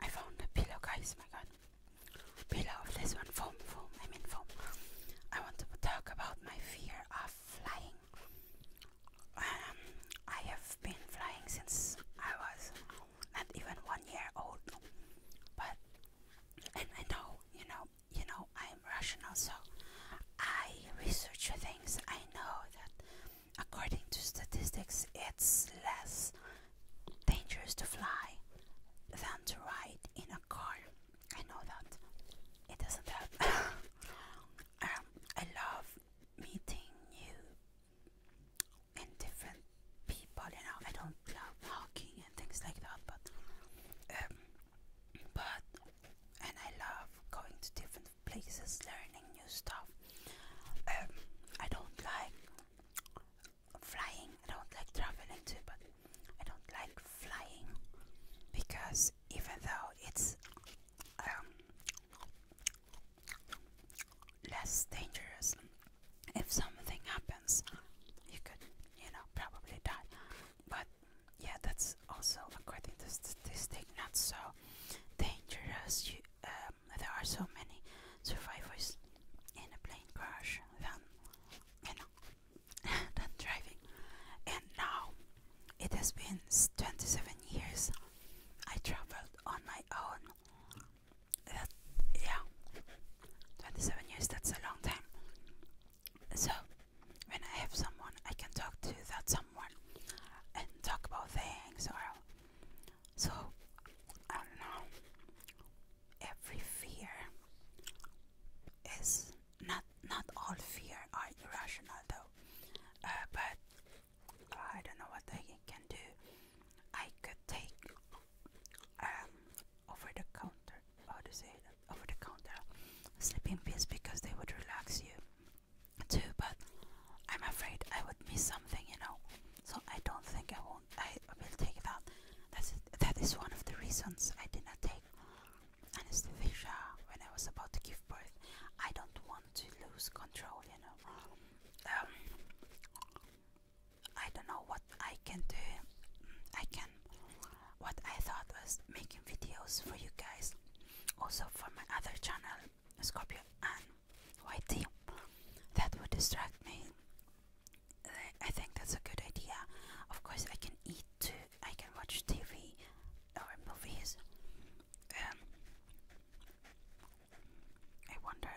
I found a pillow, guys. My God, pillow of this one, foam, foam. I mean foam. I want to talk about my fear of flying. Um, I have been flying since I was not even one year old, but and I know, you know, you know, I'm rational, so I research things, I know that according to statistics, it's less dangerous to fly than to ride in a car. I know that. It doesn't help. Um, I love meeting new and different people. You know, I don't love talking and things like that, but um, but and I love going to different places, learning new stuff. Um, I don't like flying. I don't like traveling too, but I don't like flying because even though it's um, less dangerous, if something happens, you could, you know, probably die. But yeah, that's also according to statistic not so dangerous. Um, there are so many survivors in a plane crash than than driving. And now it has been 27 years. I traveled on my own. yeah, 27 years. That's a long time. So, when I have someone, I can talk to that someone and talk about things or so I don't know. Every fear is not not all fear are irrational though, uh, but I don't know what I can do. I could take um, over the counter. How to say that? Over the counter sleeping pills because they would relax you too. But I'm afraid I would miss something, you know. So I don't think I won't. I will take that. That's that is one of the reasons I did not take anesthesia when I was about to give birth. I don't want to lose control, you know. Um, I don't know what I can do. I can. What I thought was making videos for you guys, also for my other channel, Scorpio and YT. That would distract me. I think that's a good idea. Of course, I can eat too. I can watch TV or movies. Um, I wonder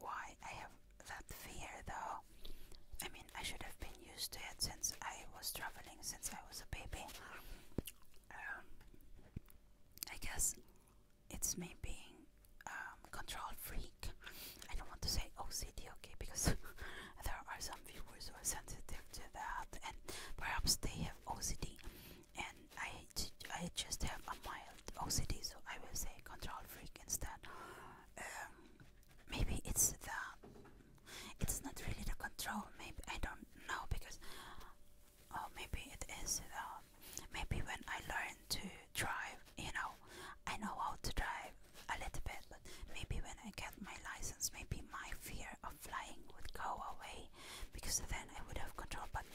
why I have that fear though. I mean, I should have been used to it since I was traveling since I was a baby. Um, I guess it's me being um, control freak. I don't want to say OCD, okay, because there are some viewers who are sensitive to that, and perhaps they have OCD, and I I, just have a mild OCD, so I will say control freak instead. Um, maybe it's the. It's not really the control. Maybe I don't know because. Oh, maybe it is the. Um, maybe when I learn to drive, you know, I know how to drive a little bit, but maybe when I get my license, maybe my fear of flying would go away because then I would have control. But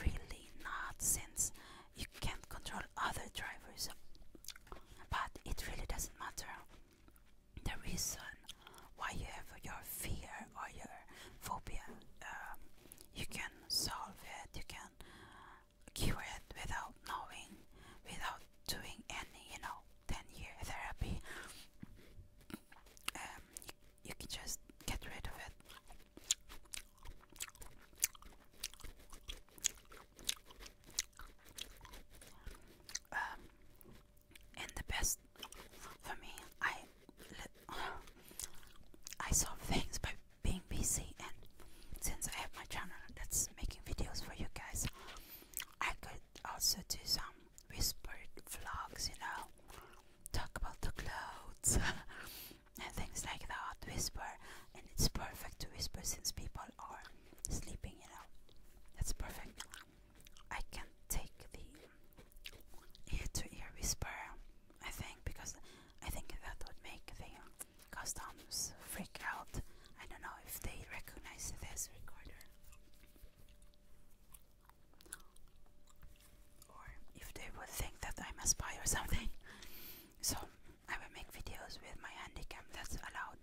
really not since you can't control other drivers but it really doesn't matter the reason why you have your fear or your phobia um, you can solve it you can cure it without knowing without doing any you know 10 year therapy um, you can just get rid of it. Um, and the best for me, I I solve things by being busy, and since I have my channel that's making videos for you guys, I could also do some whispered vlogs, you know, talk about the clothes and things like that, whisper, and it's perfect to whisper since people are sleeping, you know. That's perfect. I can take the ear to ear whisper, I think, because I think that would make the customs freak out. I don't know if they recognize this recorder or if they would think that I'm a spy or something. So I will make videos with my handicap. That's allowed.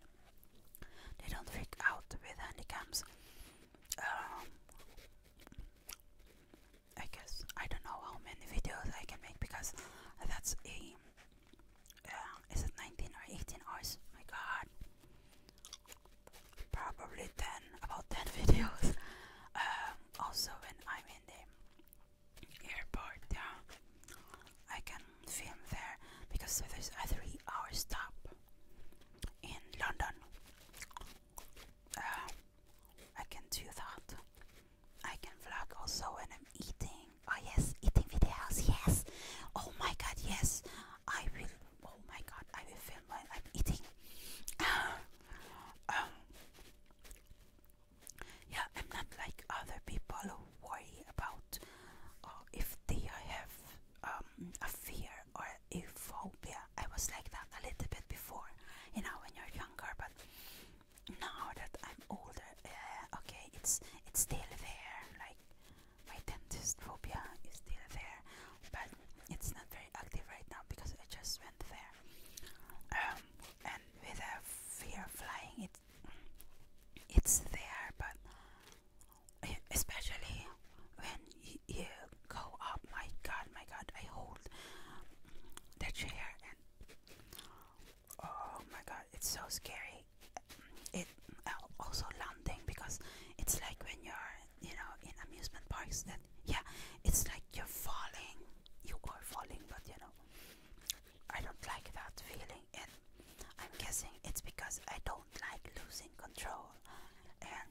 They don't freak out with handicaps. Um, I guess I don't know how many videos I can make because that's a. Uh, is it 19 or 18 hours? My God probably 10 about 10 videos um, also when I'm in the airport yeah, I can film there because there's a three hour stop in London um, I can do that I can vlog also when I'm eating oh yes eating videos yes oh my god yes I will. Oh my god! I will film while I'm eating. Um, yeah, I'm not like other people who worry about uh, if they have um, a fear or a phobia. I was like that a little bit before, you know, when you're younger. But now that I'm older, okay, it's it's still there. Like my dentist phobia is still there, but it's not very active right now because I just went there. Um, and with a fear of flying, it it's there, but especially when you, you go up, my God, my God, I hold the chair and oh my god it's so scary it oh, also landing because it's like when you're you know in amusement parks that yeah it's like you're falling you are falling but you know I don't like that feeling and I'm guessing it's because I don't like losing control and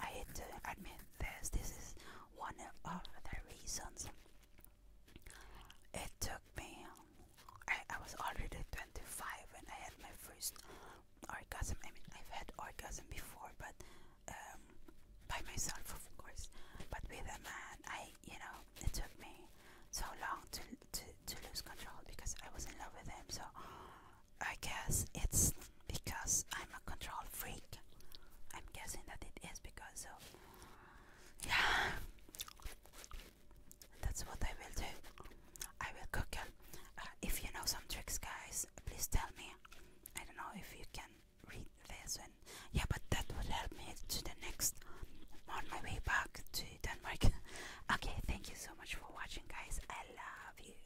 I hate to admit this this is one of the reasons it took me, I, I was already 25 when I had my first orgasm. I mean, I've had orgasm before, but um, by myself, of course. But with a man, I, you know, it took me so long to, to lose control because I was in love with him. So I guess it's because I'm a control freak. I'm guessing that it is because of yeah. That's what I will do. I will cook uh, if you know some tricks, guys, please tell me. I don't know if you can read this and yeah, but that would help me to the next on my way back to Denmark. okay, thank you so much for watching, guys. I love you.